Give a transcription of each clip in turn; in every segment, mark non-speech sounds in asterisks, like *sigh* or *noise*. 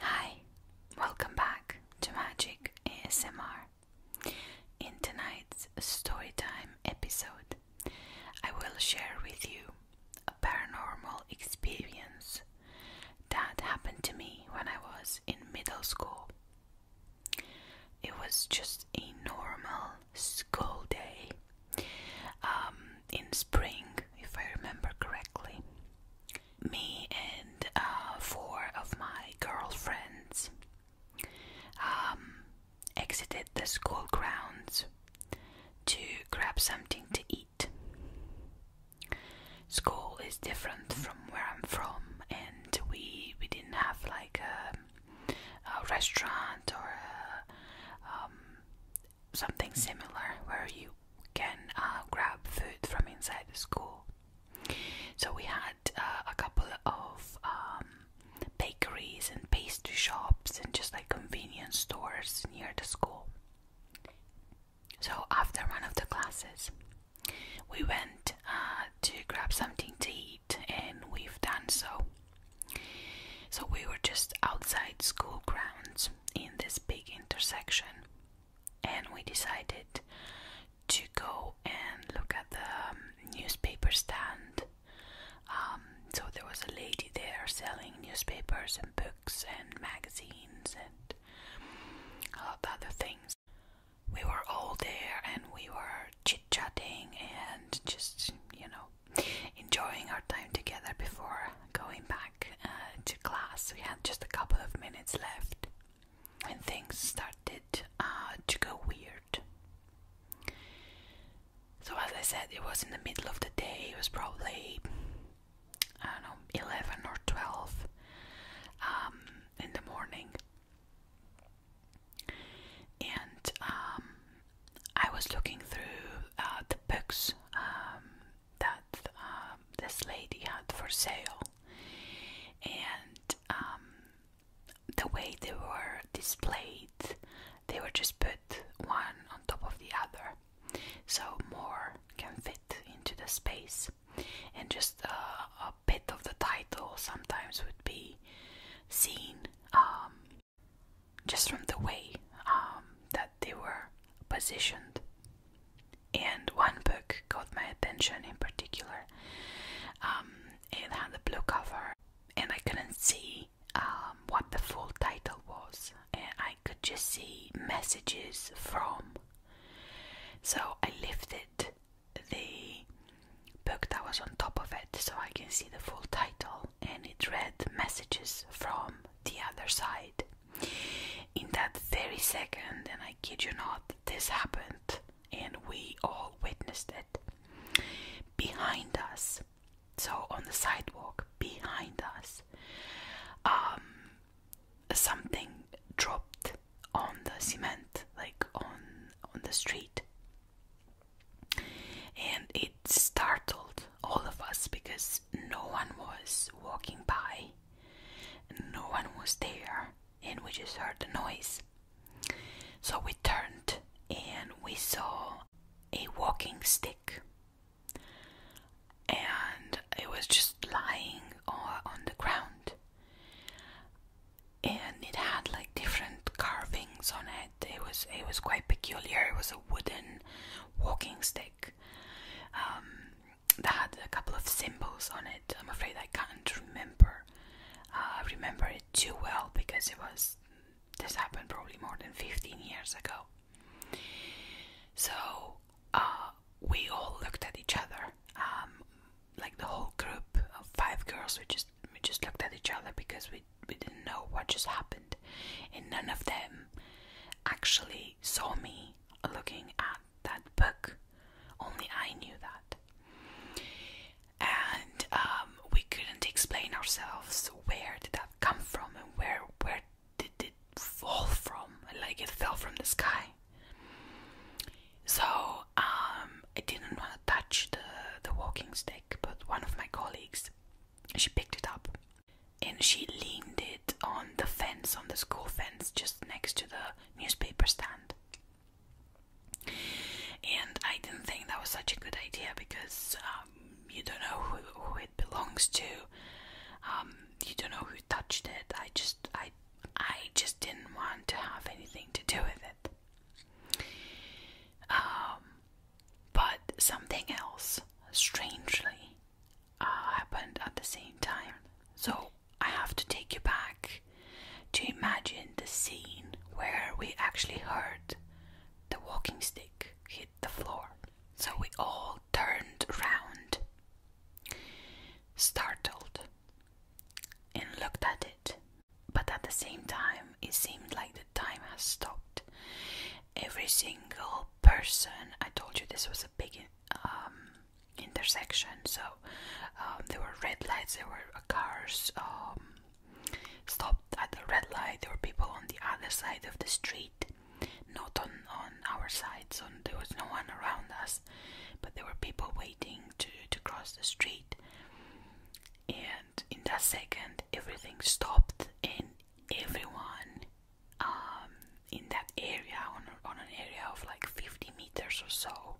Hi, welcome back to Magic ASMR. In tonight's storytime episode, I will share with you a paranormal experience that happened to me when I was in middle school. It was just a normal school day. Um, in spring, if I remember correctly. Me and uh, four of my girlfriends um, exited the school grounds to grab something to eat. School is different from where I'm from, and we we didn't have like a, restaurant or a, um, something similar where you can uh, grab food from inside the school. So we had uh, a couple of um, bakeries and pastry shops and just like convenience stores near the school. So after one of the classes, we went uh, to grab something to eat, and we've done so. So we were just outside school grounds in this big intersection, and we decided to go and look at the um, newspaper stand. Um, so there was a lady there selling newspapers and books and magazines and a lot of other things. We were all there and we were chit chatting and just, you know, enjoying our time together before going back uh, to class. We had just a couple of minutes left when things started uh, to go weird. So, as I said, it was in the middle of the day, it was probably, I don't know, 11 or 12 um, in the morning. And um, I was looking through uh, the books um, that um, this lady had for sale, and um, the way they were displayed, they were just put one on top of the other, so more can fit into the space. And just uh, a bit of the title sometimes would be seen just from the way um, that they were positioned. And one book caught my attention in particular. Um, it had a blue cover, and I couldn't see um, what the full title was, and I could just see messages from. So I lifted the book that was on top of it so I can see the full title and it read messages from the other side. In that very second, and I kid you not, this happened and we all witnessed it. Behind us, so on the sidewalk, behind us, um, something dropped on the cement, like on on the street, and it startled all of us because no one was walking by, no one was there, and we just heard the noise. So we turned and we saw a walking stick, and it was just lying on the ground and it had like different carvings on it. It was it was quite peculiar. It was a wooden walking stick um, that had a couple of symbols on it. I'm afraid I can't remember. I uh, remember it too well because it was this happened probably more than 15 years ago. So uh, we all looked at each other, um, like the whole group of five girls. We just we just looked at each other because we we didn't know what just happened, and none of them actually saw me looking at that book. Only I knew that, and um, we couldn't explain ourselves. Where did that come from, and where where did it fall from? Like it fell from the sky. So um, I didn't want to touch the, the walking stick, but one of my colleagues, she picked it up and she leaned it on the fence, on the school fence, just next to the newspaper stand. And I didn't think that was such a good idea because um, you don't know who, it belongs to. Um, you don't know who touched it. I just, I, I just didn't want to have anything to do with it. Um, but something else, strangely, uh, happened at the same time. So I have to take you back to imagine the scene where we actually heard the walking stick hit the floor. So we all turned round, startled, and looked at it. But at the same time, it seemed like the time has stopped. Every single person, I told you this was a big um, intersection, so um, there were red lights, there were cars um, stopped at the red light, there were people on the other side of the street, not on, on our side, so there was no one around us but there were people waiting to, to cross the street. And in that second, everything stopped, and everyone um, in that area, on, on an area of like 50 meters or so,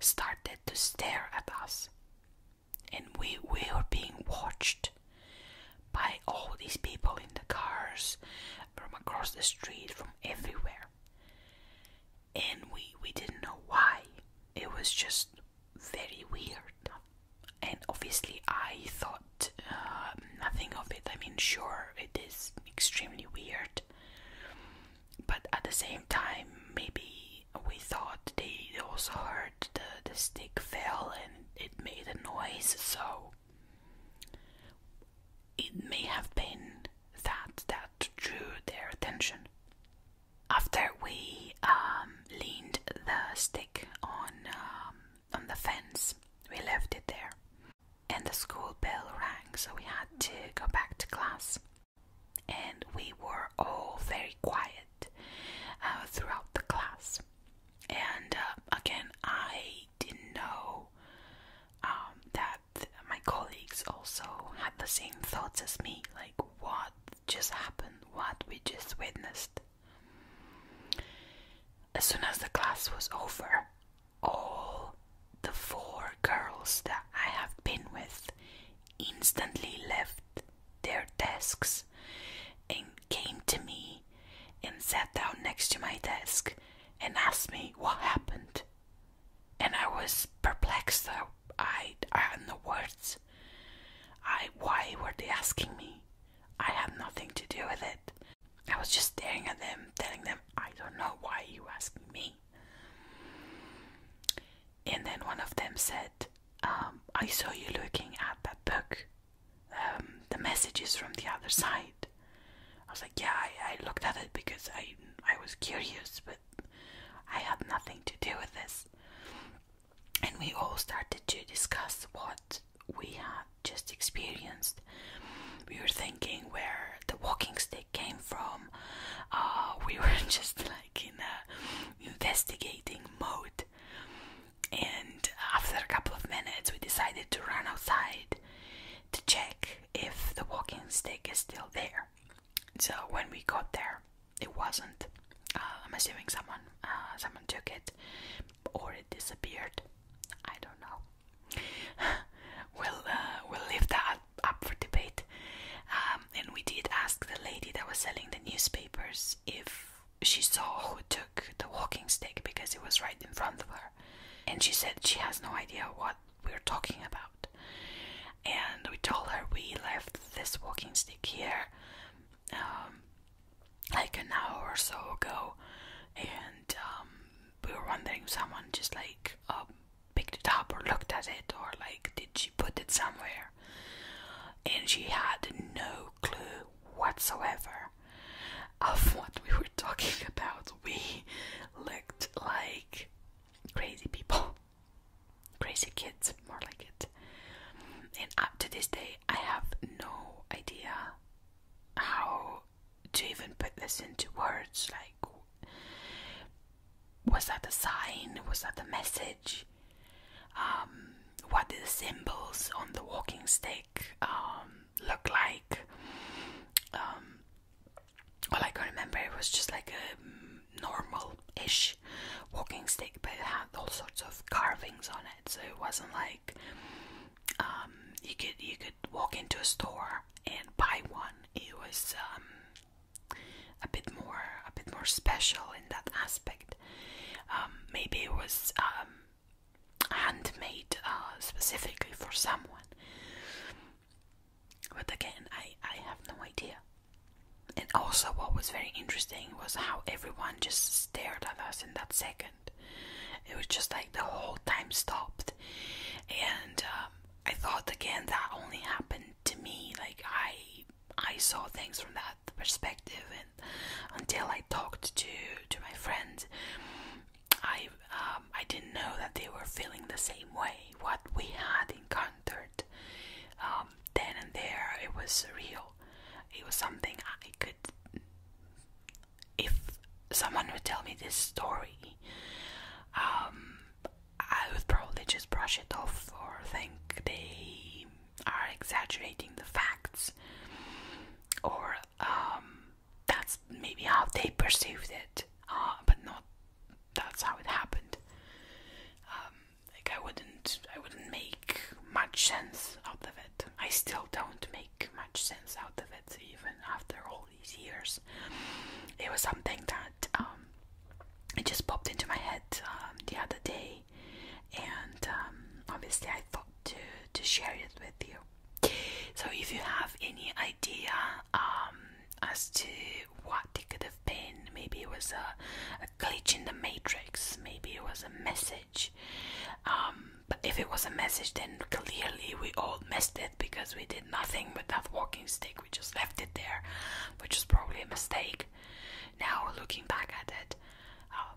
started to stare at us. And we, we were being watched by all these people in the cars from across the street, from everywhere and we we didn't know why. It was just very weird, and obviously I thought um, nothing of it. I mean, sure, it is extremely weird, but at the same time, maybe we thought they also heard the the stick fell and it made a noise, so it may have been that that drew their attention. After we um, leaned the stick on um, on the fence, we left it there, and the school bell rang, so we had to go back to class. And we were all very quiet uh, throughout the class. And uh, again, I didn't know um, that my colleagues also had the same thoughts as me like, what just happened? What we just witnessed? As soon as the class was over, all the four girls that I have been with instantly left their desks and came to me and sat down next to my desk and asked me what happened and I was perplexed. I, I, I had no words. I why were they asking me? I had nothing to do with it. I was just staring at them, telling them, I don't know why you asking me. And then one of them said, um, I saw you looking at that book. Um, the messages from the other side. I was like, yeah, I, looked at it because I, I was curious, but I had nothing to do with this. And we all started to discuss what we had just experienced. We were thinking where the walking stick came from. Uh, *laughs* we were just like in a investigating mode. And after a couple of minutes, we decided to run outside to check if the walking stick is still there. So when we got there, it wasn't. Uh, I'm assuming someone uh, someone took it or it disappeared. I don't know. *laughs* we'll uh, we'll leave that up for debate. Um, and we did ask the lady that was selling the newspapers if she saw who took the walking stick because it was right in front of her. And she said she has no idea what we're talking about. And we told her we left this walking stick here um, like an hour or so ago. And um, we were wondering if someone just like um, picked it up or looked at it or like did she put it somewhere. And she had no clue whatsoever of what we were talking about. We looked like crazy people, crazy kids, more like it. And up to this day, I have no idea how to even put this into words. Like, was that a sign? Was that a message? Um, what the symbols on the walking stick um, look like? like um, I can remember it was just like a normal-ish walking stick, but it had all sorts of carvings on it, so it wasn't like um, you could you could walk into a store and buy one. It was um, a bit more a bit more special in that aspect. maybe it was handmade uh, specifically for someone. But again, I, I have no idea. And also, what was very interesting was how everyone just stared at us in that second. It was just like the whole time stopped. And um, I thought again that only happened to me. Like I, I saw things from that perspective and until I talked to to my friends I um, I didn't know that they were feeling the same way what we had encountered um, then and there it was real it was something I could if someone would tell me this story um, I would probably just brush it off or think they are exaggerating the facts or um, that's maybe how they perceived it, uh, but not that's how it happened. Um, like I wouldn't, I wouldn't make much sense out of it. I still don't make much sense out of it, even after all these years. It was something that um, it just popped into my head the other day and um, obviously I thought to to share it with you. So if you have any idea um, as to what it could have been, maybe it was a, glitch in the matrix, maybe it was a message. Um, but if it was a message, then clearly we all missed it because we did nothing with that walking stick. We just left it there, which was probably a mistake. Now looking back at it, uh,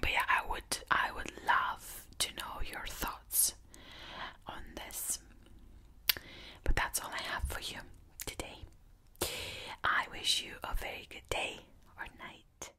but yeah, I would I would love to know your thoughts on this. But that's all I have for you today. I wish you a very good day or night.